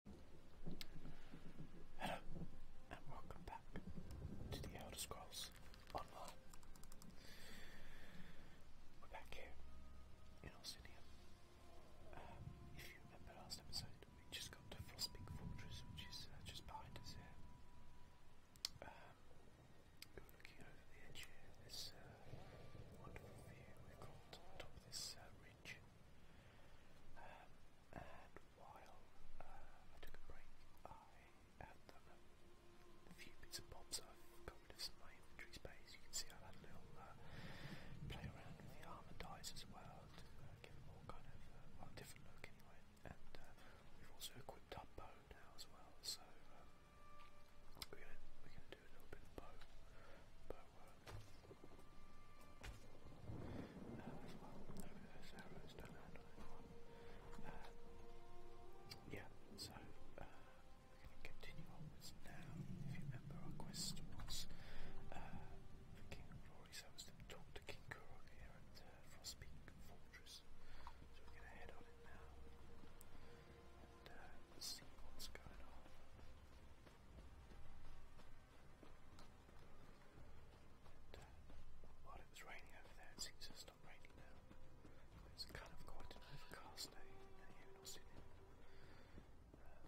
Hello, and welcome back to the Elder Scrolls Online. We're back here in Orsinium. if you remember last episode, we just got to Frostbeak Fortress, which is uh, just behind us here. Um, we are looking over the edge here, this wonderful view we got on top of this uh, ridge. Um, and while uh, I took a break, I had a few bits and bobs. I've got rid some of my inventory space. You can see i had a little uh, play around with the armor dies as well to give them all kind of a uh, different look anyway. And we've also equipped our bow now as well, so we're we're do a little bit of bow bow work uh, yeah, so uh, we're going to continue onwards now. If you remember, our quest was uh, King of Glory, so to talk to King Kurok here at uh, Fortress. So we're going to head on in now and uh, see what's going on. While it was raining over there, it seems to stop raining now. It's kind of quite an overcast day here in Austin. Uh,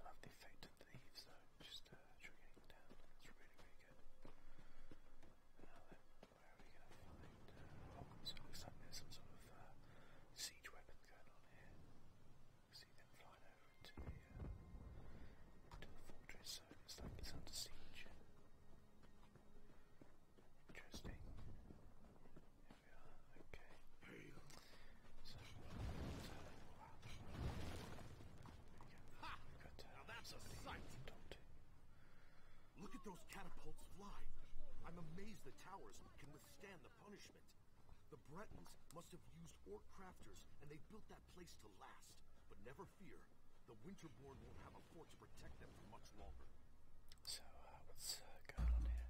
I love the effect of the leaves though, just uh, trickling down. It's really, really good. Now then, where are we going to find? Uh, oh, so it looks like there's some sort of uh, siege weapon going on here see them flying over to the, uh, to the fortress, so it's like it's under siege. Interesting. There we are, okay. So, now that's a sight! Look at those catapults fly! I'm amazed the towers can withstand the the punishment. The Bretons must have used orc crafters, and they built that place to last. But never fear, the Winterborn won't have a fort to protect them for much longer. So, uh, what's uh, going on here?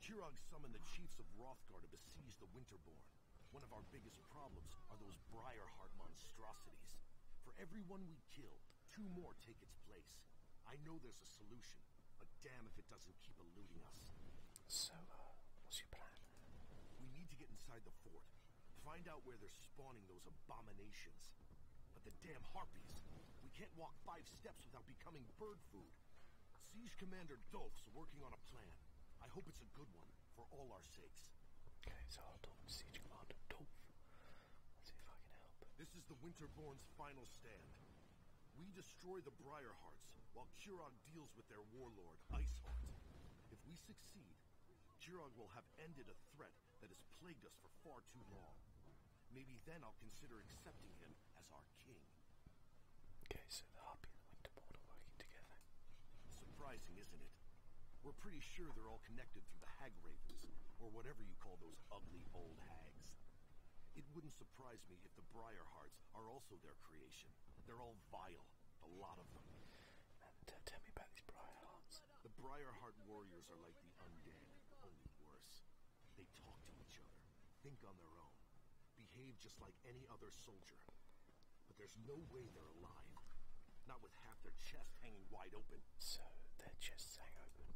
Chirag summoned the chiefs of Rothgar to besiege the Winterborn. One of our biggest problems are those Briarheart monstrosities. For every one we kill, two more take its place. I know there's a solution, but damn if it doesn't keep eluding us. So, uh, what's your plan? We need to get inside the fort. Find out where they're spawning those abominations. But the damn harpies! We can't walk five steps without becoming bird food. Siege Commander Dolph's working on a plan. I hope it's a good one, for all our sakes. Okay, so I'll talk to Siege Commander Dolph. see if I can help. This is the Winterborn's final stand. We destroy the Briarhearts, while Curon deals with their warlord, Iceheart. If we succeed, Jiron will have ended a threat that has plagued us for far too long. Maybe then I'll consider accepting him as our king. Okay, so the Harpy and the Winter working together. Surprising, isn't it? We're pretty sure they're all connected through the Hag Ravens, or whatever you call those ugly old hags. It wouldn't surprise me if the Briarhearts are also their creation. They're all vile, a lot of them. tell me about these Briarhearts. The Briarheart warriors are like the undead, only worse. They talk to each other, think on their own, behave just like any other soldier. But there's no way they're alive. Not with half their chest hanging wide open. So, their chests hang open.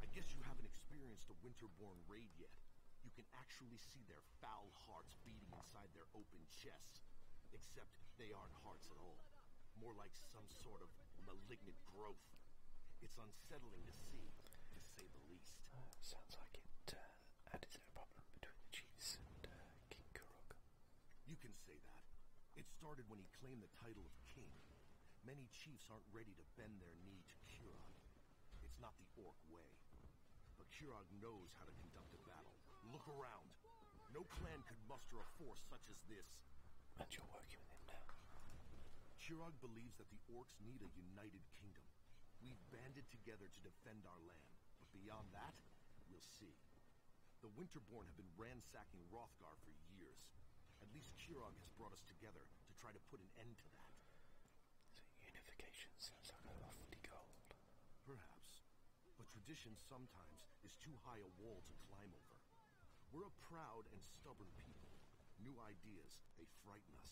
I guess you haven't experienced a Winterborn raid yet. You can actually see their foul hearts beating inside their open chests. Except they aren't hearts at all. More like some sort of malignant growth. It's unsettling to see, to say the least. Uh, sounds like it uh, added to the problem between the Chiefs and uh, King Kurok. You can say that. It started when he claimed the title of king. Many chiefs aren't ready to bend their knee to Kuron, it's not the orc way. But Kirog knows how to conduct a battle. Look around. No clan could muster a force such as this. And you're working with him now. Kirog believes that the orcs need a united kingdom. We've banded together to defend our land. But beyond that, we'll see. The Winterborn have been ransacking Rothgar for years. At least Kirog has brought us together to try to put an end to that unification sounds like a lofty goal. Perhaps. But tradition sometimes is too high a wall to climb over. We're a proud and stubborn people. New ideas, they frighten us.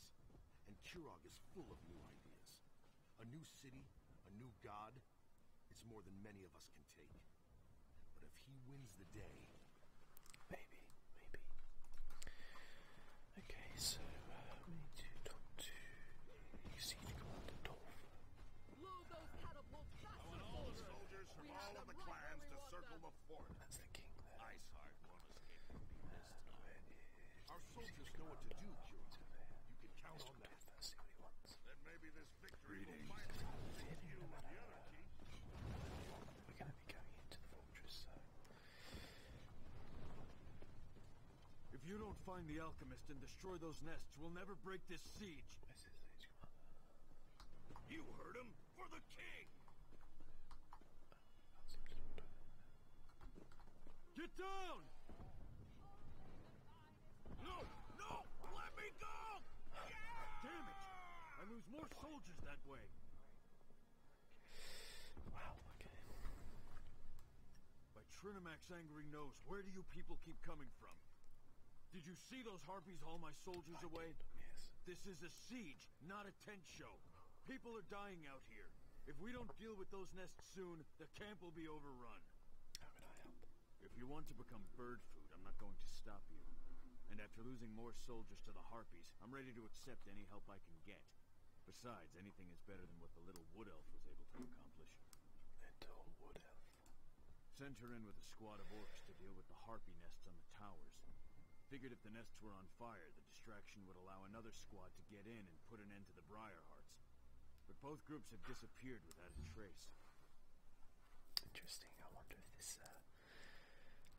And Kirog is full of new ideas. A new city, a new god, it's more than many of us can take. But if he wins the day... Maybe, maybe. Okay, so uh, we need to talk to Exceed Commander Dolph. I want all the soldiers from all of the clans to circle the fort. the king Iceheart won't escape from being Our soldiers know what to do, You can count on that. Then maybe this victory will finally We're going to be going into the fortress, if you don't find the alchemist and destroy those nests, we'll never break this siege. You heard him. For the king! Get down! No! No! Let me go! Damn it! I lose more soldiers that way. Wow, by angry nose, where do you people keep coming from? Did you see those harpies haul my soldiers away? yes. This is a siege, not a tent show. People are dying out here. If we don't deal with those nests soon, the camp will be overrun. How can I help? If you want to become bird food, I'm not going to stop you. And after losing more soldiers to the harpies, I'm ready to accept any help I can get. Besides, anything is better than what the little wood elf was able to accomplish. Little wood elf. Sent her in with a squad of orcs to deal with the harpy nests on the towers. Figured if the nests were on fire, the distraction would allow another squad to get in and put an end to the hearts. But both groups have disappeared without a trace. Interesting. I wonder if this uh,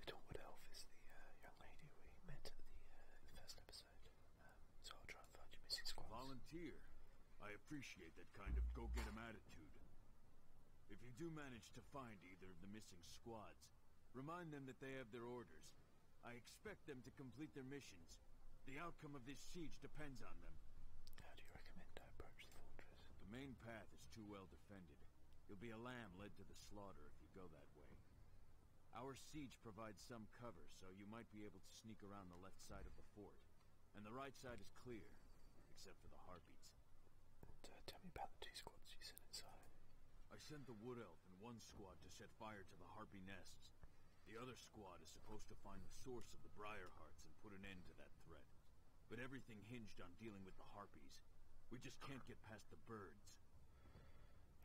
little wood elf is the uh, young lady we met at the uh, first episode. Um, volunteer. I appreciate that kind of go-get-em attitude. If you do manage to find either of the missing squads, remind them that they have their orders. I expect them to complete their missions. The outcome of this siege depends on them. How do you recommend I approach the fortress? The main path is too well defended. You'll be a lamb led to the slaughter if you go that way. Our siege provides some cover, so you might be able to sneak around the left side of the fort. And the right side is clear, except for the harpies. Uh, tell me about the two squads you sent inside. I sent the Wood Elf and one squad to set fire to the harpy nests. The other squad is supposed to find the source of the Briar Hearts and put an end to that threat. But everything hinged on dealing with the harpies. We just can't get past the birds.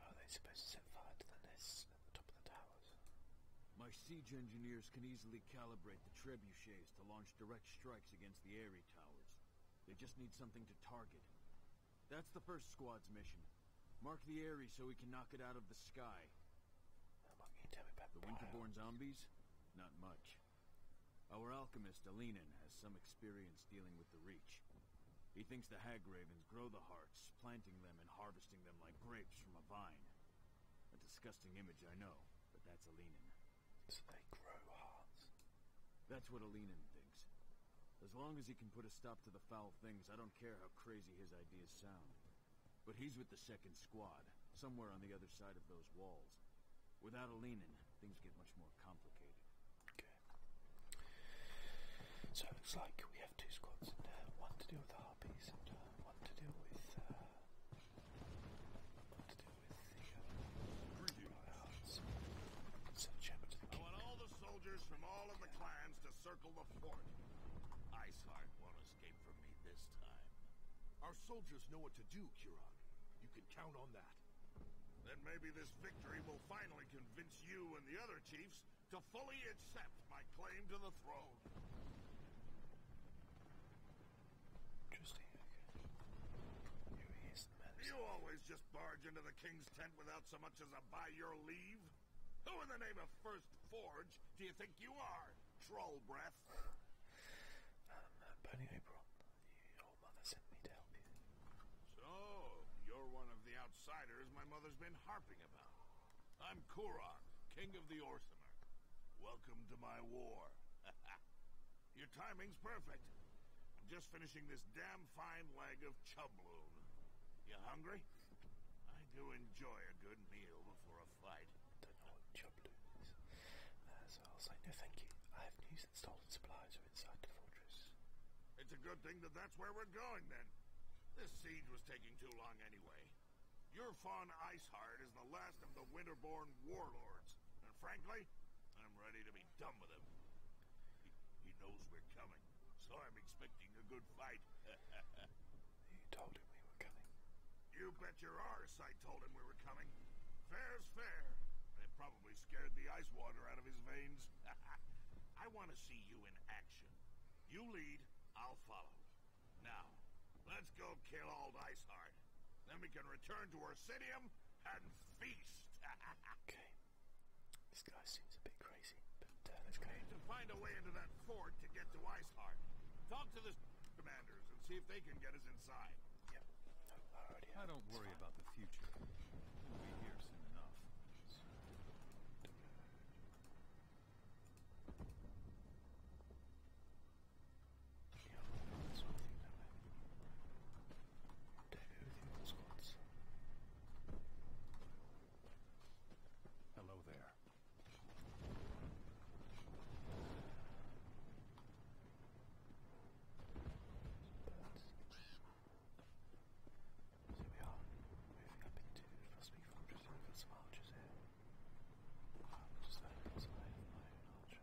Are they supposed to set fire to the nests? top of the towers. My siege engineers can easily calibrate the trebuchets to launch direct strikes against the airy towers. They just need something to target. That's the first squad's mission. Mark the airy so we can knock it out of the sky. the Winterborn zombies? Not much. Our alchemist, Alinen, has some experience dealing with the Reach. He thinks the Hag grow the hearts, planting them and harvesting them like grapes from a vine. A disgusting image, I know, but that's Alinin. So they grow hearts. That's what Alinin thinks. As long as he can put a stop to the foul things, I don't care how crazy his ideas sound. But he's with the second squad, somewhere on the other side of those walls. Without Alinin, things get much more complicated. Okay. So it looks like we two squads, and uh, one to deal with the harpies, and uh, one to deal with uh, the I want all the soldiers from all of the clans to circle the fort. Iceheart won't escape from me this time. Our soldiers know what to do, Kiran. You can count on that. Then maybe this victory will finally convince you and the other chiefs to fully accept my claim to the throne. Interesting. You always just barge into the king's tent without so much as a by your leave? Who in the name of First Forge do you think you are, troll breath? um, but anyway, your mother sent me to help you. So, you're one of the outsiders my mother's been harping about. I'm Kuron, King of the Orsimer. Welcome to my war. Your timing's perfect. I'm just finishing this damn fine leg of chubloon. You hungry? I do enjoy a good meal before a fight. Don't know chubloon uh, so I'll say no thank you. I have news and stolen supplies are inside the fortress. It's a good thing that that that's where we're going then. This siege was taking too long anyway. Yurfon Iceheart is the last of the Winterborn warlords, and frankly, I'm ready to be done with him. He, knows we're coming, so I'm expecting a good fight. you told him we were coming. You bet your arse I told him we were coming. Fair's fair. It probably scared the ice water out of his veins. I want to see you in action. You lead, I'll follow. Now, let's go kill old Icehard. Then we can return to Orsidium and feast. okay. This guy seems a bit crazy, but uh, let's go. We need to find a way into that fort to get to Icehard. Talk to the commanders and see if they can get us inside. Yep. I, don't worry about the future. We'll be here soon enough. Hello there. That's so we are moving up into Frostbeak Fortress and for some archers here. Um, just so I my own archer.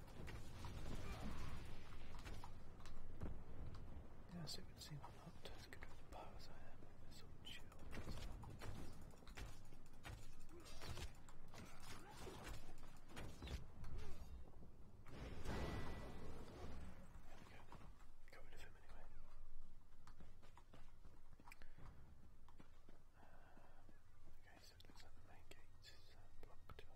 Yes, it would seem I'm not as good with the bow as I am with this old shield. There we go. Got rid of him anyway. Okay, so it looks like the main gate is uh, blocked off.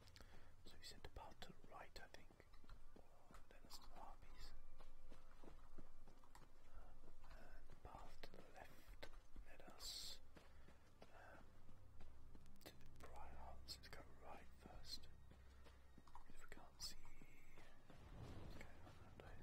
So he said about to right, I think. Then it's the far piece. And the path to the left led us um, to the prior house. Let's go right first. If we can't see what's going on that day.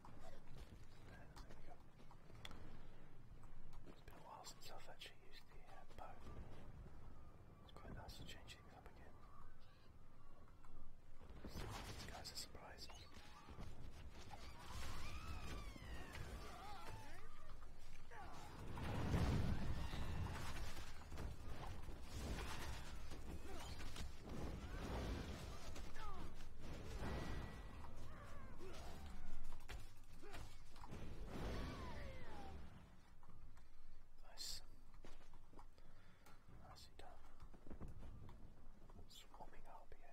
It's been a while since I've actually used the uh, bow. It's quite nice to change things up again. So, these guys are surprising. Nice. Nicely done. Swapping RPA.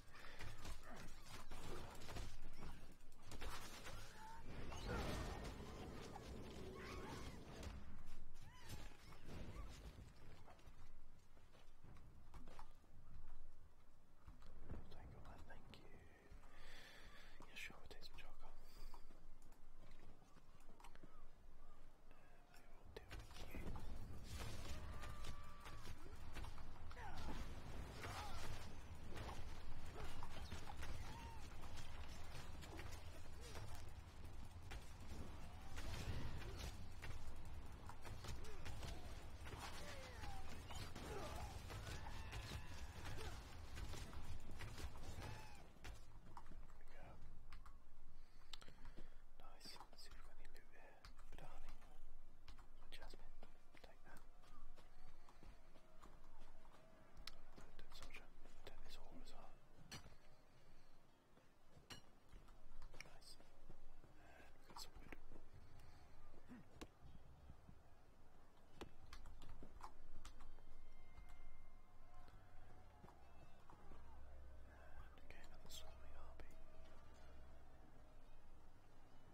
Tangleland, thank you. Yeah, sure, we'll take some charcoal. I will deal with you. Nice. See if we've got any loot here. Badani. Jasmine. Take that. Dead soldier. Take this all as well. Nice. And we And again, another swarming harpy.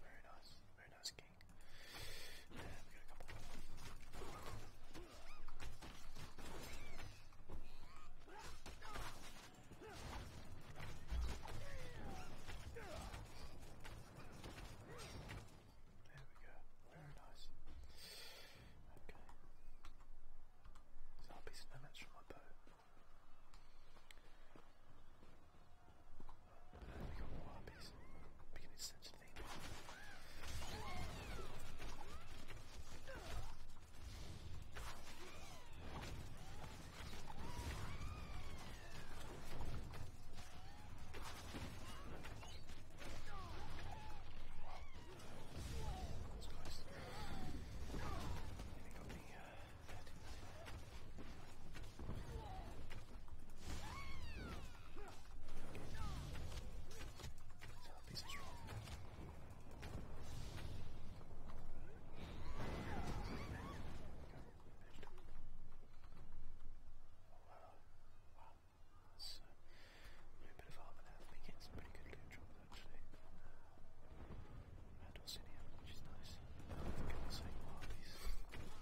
Very nice. Very nice king. There we go. Very nice. Okay. So I'll be so from my boat. We got more harpies. We can extend the thing. Wow. That's close. And we got the uh, Wow. So, a bit of armor now. I think it's pretty good loot drop actually. Uh, and Orsinium, which is nice. I think i No, okay, okay.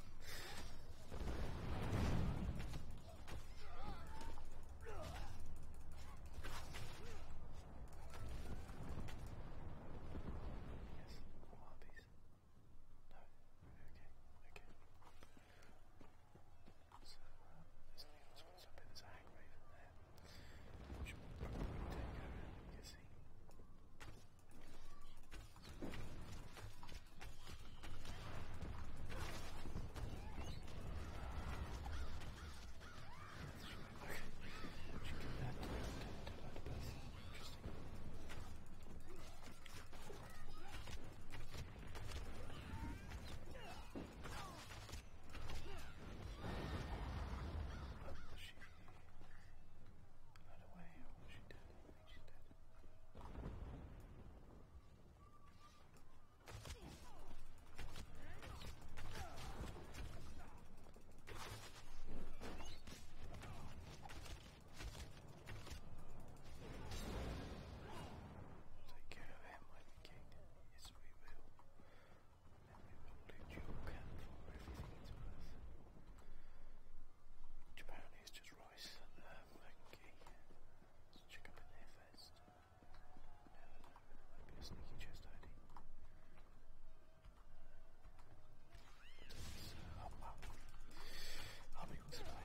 So, uh, there's a Hag there. Which will probably take it, I'm guessing. Okay, we should give that to, to, to that person. Interesting. The sheep. Right away, oh, she dead. I think she's dead. Take care of him, Lady King. Yes, we will probably dual cam for everything it's worth. Which apparently is just rice and um, uh, monkey. Let's check up in there first. No, no, no, might be a sneaky chest hiding. So, uh, up, up. Up equals play.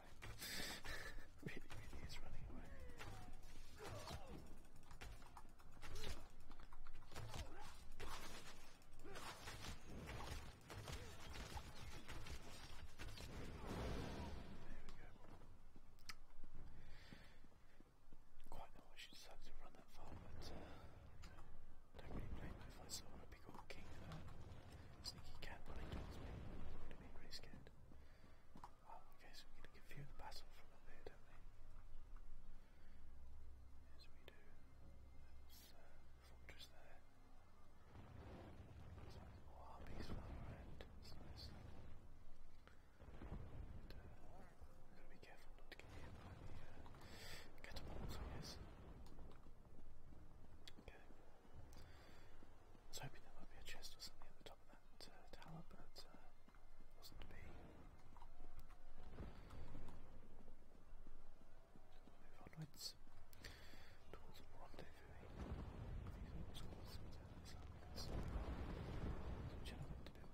away. really, hes running away. There we go. Quite not wishing to run that far, but uh, don't really blame me if I saw her big sneaky cat me. I'm be pretty scared. Well, okay, so we're gonna give you the battle from up here, don't we? Yes, we do. That's uh, fortress there. It's nice. Oh, our peaceful around. It's nice. Uh, to be careful not to get hit by the uh, catapults, I Okay. I was hoping there might be a chest or something at the top of that uh, tower, but uh, wasn't to be. Move onwards towards a rendezvous. These are always called sometimes like this. There's a gentleman to build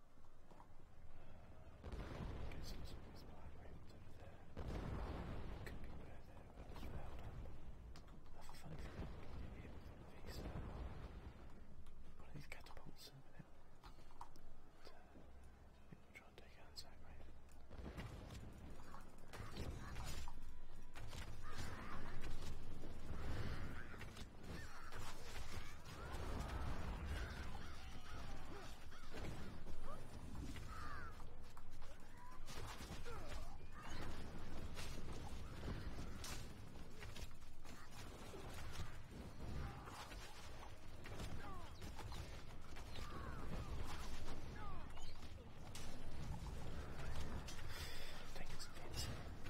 Guess this one's behind right over there. Could be where there was held up. I have a funny feeling we can do it with one of these, uh, one of these catapults in a minute. But, uh, I think we'll try and take out Zack right? Take it fancy. Got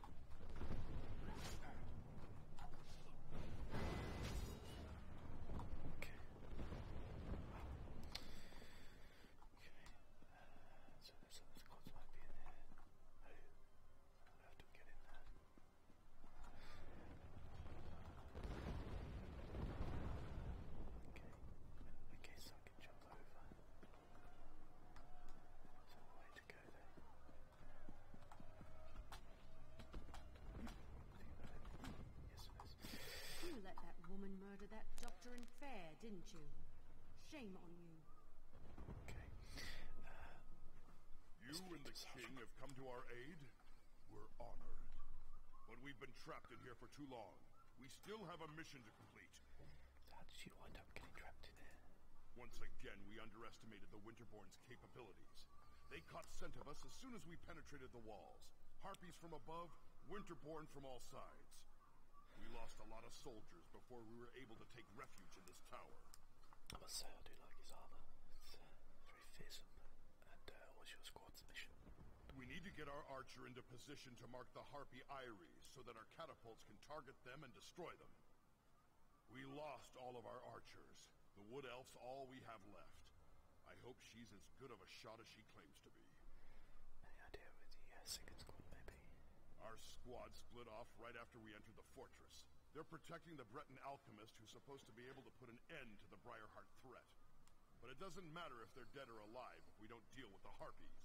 Okay. Okay. Uh, so some of the squads might be in there. I, I don't get in there. Okay. I guess I can jump over. You let that woman murder that doctor in fair, didn't you? Shame on you. Uh, you and the king have come to our aid? We're honored. But we've been trapped in here for too long. We still have a mission to how did you wind up getting trapped in there? Once again, we underestimated the Winterborn's capabilities. They caught scent of us as soon as we penetrated the walls. Harpies from above, Winterborn from all sides. We lost a lot of soldiers before we were able to take refuge in this tower. I say I do like his armor. It's uh, very fearsome. And uh, what's your squad's mission? We need to get our archer into position to mark the Harpy Eyries so that our catapults can target them and destroy them. We lost all of our archers. The Wood Elf's all we have left. I hope she's as good of a shot as she claims to be. Any idea where the uh, second squad may be? Our squad split off right after we entered the fortress. They're protecting the Breton alchemist who's supposed to be able to put an end to the Briarheart threat. But it doesn't matter if they're dead or alive if we don't deal with the Harpies.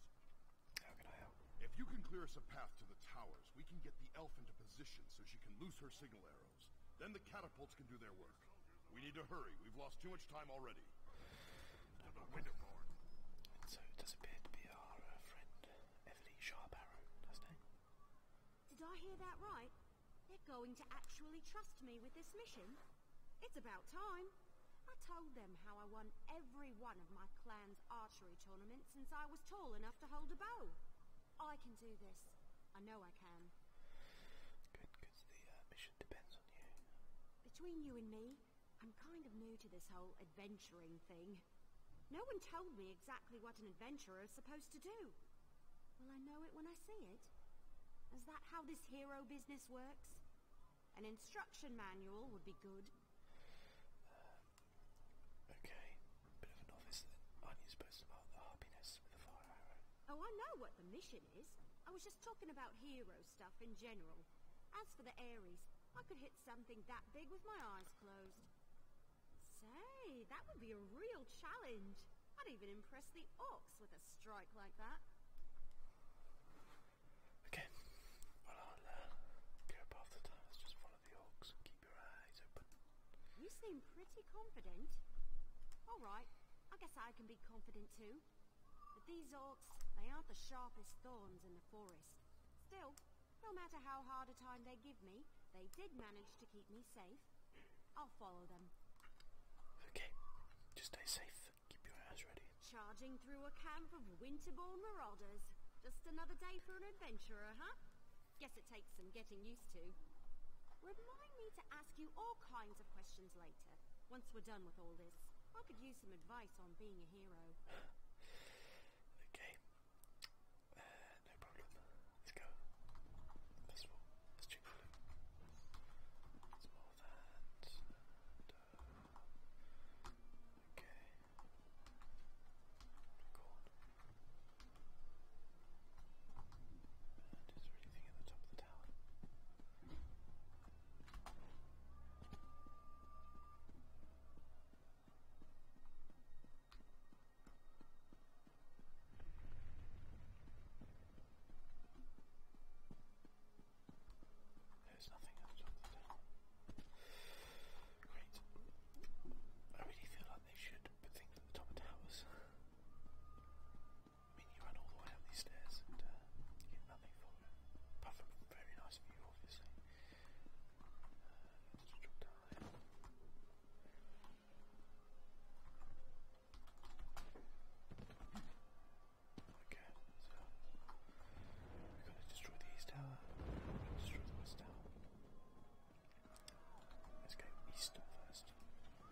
If you can clear us a path to the towers, we can get the elf into position so she can loose her signal arrows. Then the catapults can do their work. We need to hurry. We've lost too much time already. No problem. so it does appear to be our uh, friend, Everly Sharparrow, doesn't it? Did I hear that right? They're going to actually trust me with this mission? It's about time. I told them how I won every one of my clan's archery tournament since I was tall enough to hold a bow. I can do this. I know I can. Good, because the uh, mission depends on you. Between you and me, I'm kind of new to this whole adventuring thing. No one told me exactly what an adventurer is supposed to do. Well, I know it when I see it. Is that how this hero business works? An instruction manual would be good. Uh, Oh, I know what the mission is. I was just talking about hero stuff in general. As for the Aries, I could hit something that big with my eyes closed. Say, that would be a real challenge. I'd even impress the ox with a strike like that. Okay, well I'll uh, go up after time. just follow the orcs and keep your eyes open. You seem pretty confident. All right, I guess I can be confident too. But these orcs, they aren't the sharpest thorns in the forest. Still, no matter how hard a time they give me, they did manage to keep me safe. I'll follow them. Okay, just stay safe. Keep your eyes ready. Charging through a camp of winterborn marauders. Just another day for an adventurer, huh? Guess it takes some getting used to. Remind me to ask you all kinds of questions later. Once we're done with all this, I could use some advice on being a hero. okay. Uh, no problem. Let's go. First of all, let's check the It's more that. okay. Record. And is there anything at the top of the tower? There's nothing at the top of the tower. Great. I really feel like they should put things at the top of towers. I mean, you run all the way up these stairs and uh, you get nothing for it. Apart from a very nice view, obviously. Uh, let's drop down there. Okay, so we gotta destroy the east tower. We gotta destroy the west tower. Let's go east first. Right,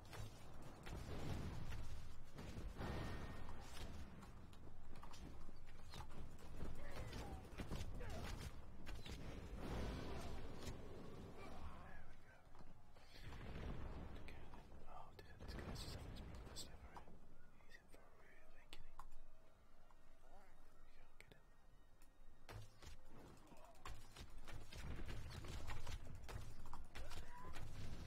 Oh, dude, this guy's just having his problem last time, alright? He's in for a real awakening. There we go, get him.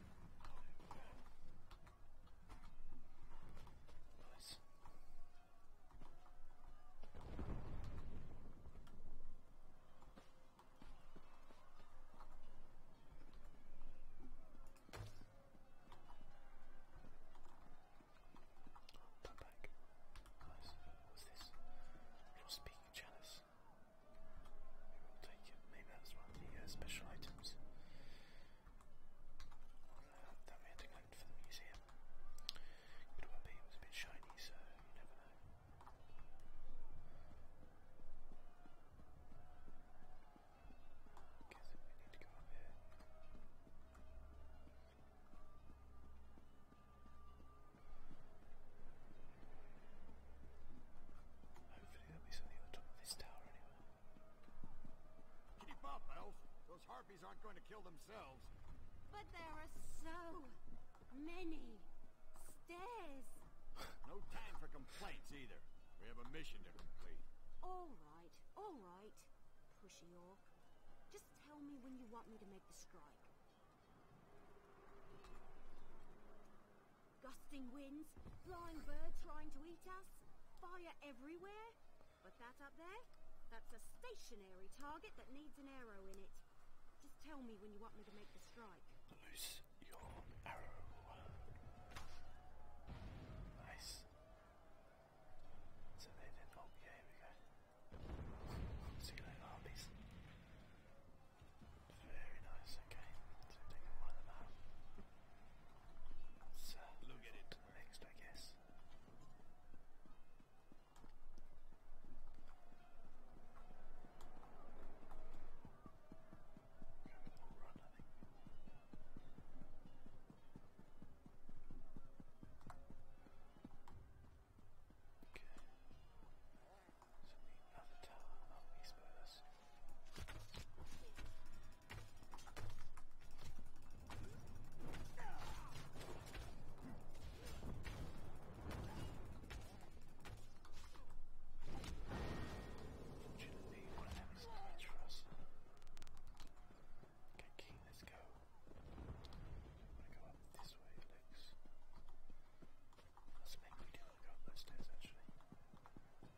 Nice. Put back. Nice. What's this? Your speaking chalice we'll take Maybe that's one of the uh, special items that we had to collect for the museum. Could well be a bit shiny, so you never know. guess we need to go up here. Keep up, Elf. Those harpies aren't going to kill themselves. But there are so many stairs. no time for complaints either. We have a mission to complete. All right, all right, Pushy Orc. Just tell me when you want me to make the strike. Gusting winds, flying birds trying to eat us, fire everywhere. But that up there, that's a stationary target that needs an arrow in it. Just tell me when you want me to make the strike. Loose your arrow. Nice. So they did. Oh, yeah, here we go. So you know, very nice, okay. So we've taken look at it next, I guess. Okay. So we need another tower, not me Spurs. Unfortunately, what happens to much for us. Okay, King, let's go. I'm gonna go up this way, it looks. That's maybe we do wanna go up those stairs actually.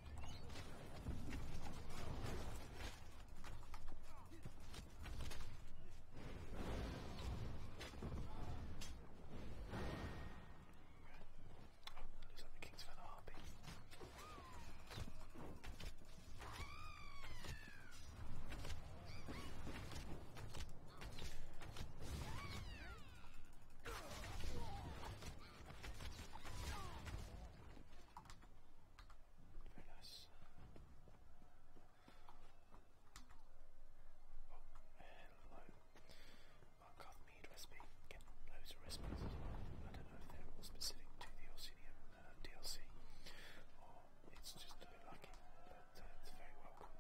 Looks like the king's found a harpy. Very nice. Oh, hello. Markov mead recipe. Get loads of recipes I don't know if they're all specific to the Orsinium DLC or it's just a bit lucky, but uh, it's very welcome.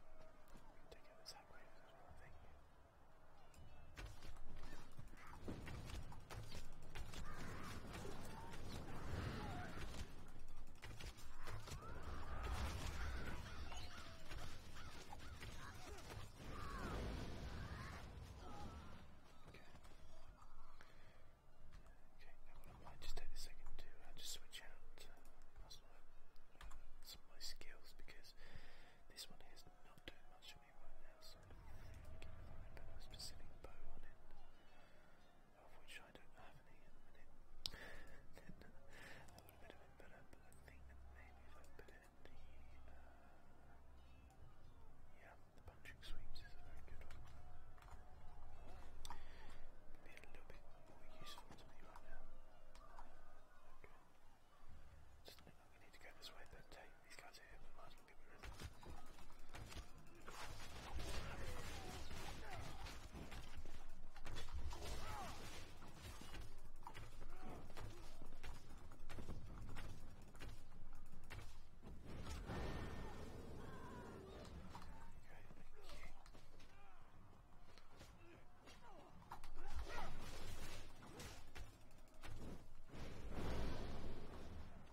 take out this hat wave as well, I think now I might just take a second to just switch out some of my skills because this one here is not doing much to me now, so I think if I put a specific bow on it, of which I don't have any then uh, that bit better, but I think that maybe if I put in the, uh, yeah, the punching sweeps is very good Be a little bit more useful to me right now. Okay. Just, need to go this way, but take these guys here, we might as well get rid of them. Okay, thank you.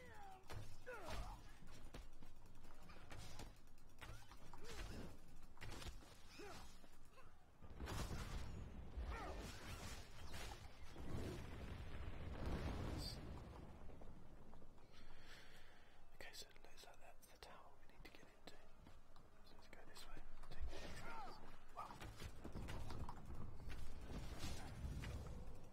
Okay, so it looks like that's the tower we need to get into. So let's go this way. Take the wow.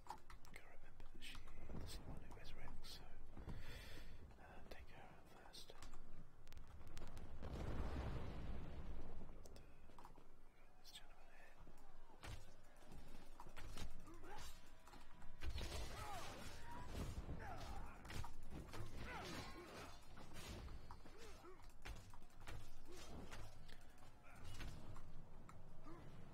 I've got to remember that she is the one who resurrects, so uh, take her out first. And, uh, this gentleman here.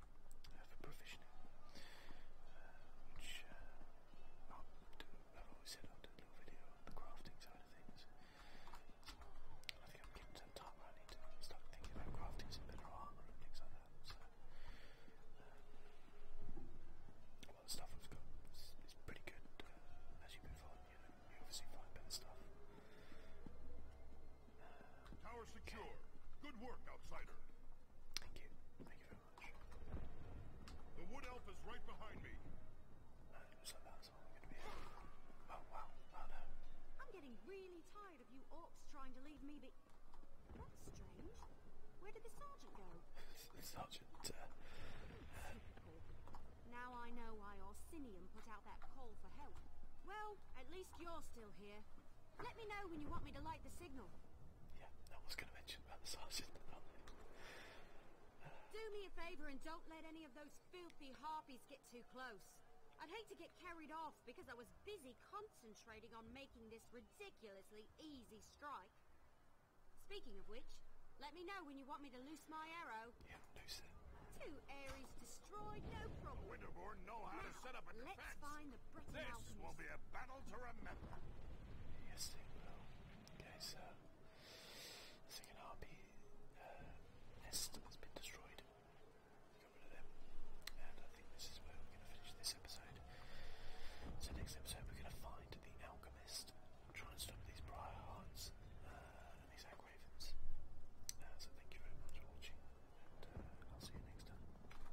uh, for provisioning, which i have always said I'll do a little video on the crafting side of things. I think I'm getting to the time where I need to start thinking about crafting some better armour and things like that. So, um, the stuff I've got is, pretty good uh, as you move on. You, know, you obviously find better stuff. Tower secure. Good work, outsider. Thank you. The wood elf is right behind me. Oh wow, oh I'm getting really tired of you orcs trying to leave me be. That's strange. Where did the sergeant go? sergeant. Uh, now I know why Orsinium put out that call for help. Well, at least you're still here. Let me know when you want me to light the signal. Yeah, no one's going to mention about the sergeant. Do me a favor and don't let any of those filthy harpies get too close. I'd hate to get carried off because I was busy concentrating on making this ridiculously easy strike. Speaking of which, let me know when you want me to loose my arrow. Yeah, loose it. Two Ares destroyed, no problem. Winterborn know how to set up a defense. Let's find this will be a battle to remember. Yes, they will. Guys, uh, second RP uh, nest has been destroyed. Got rid of them. And I think this is where we're going to finish this episode. So next episode we're going to find the Alchemist, try and stop these Briar uh, and these Agravens. Uh, so thank you very much for watching, and uh, I'll see you next time.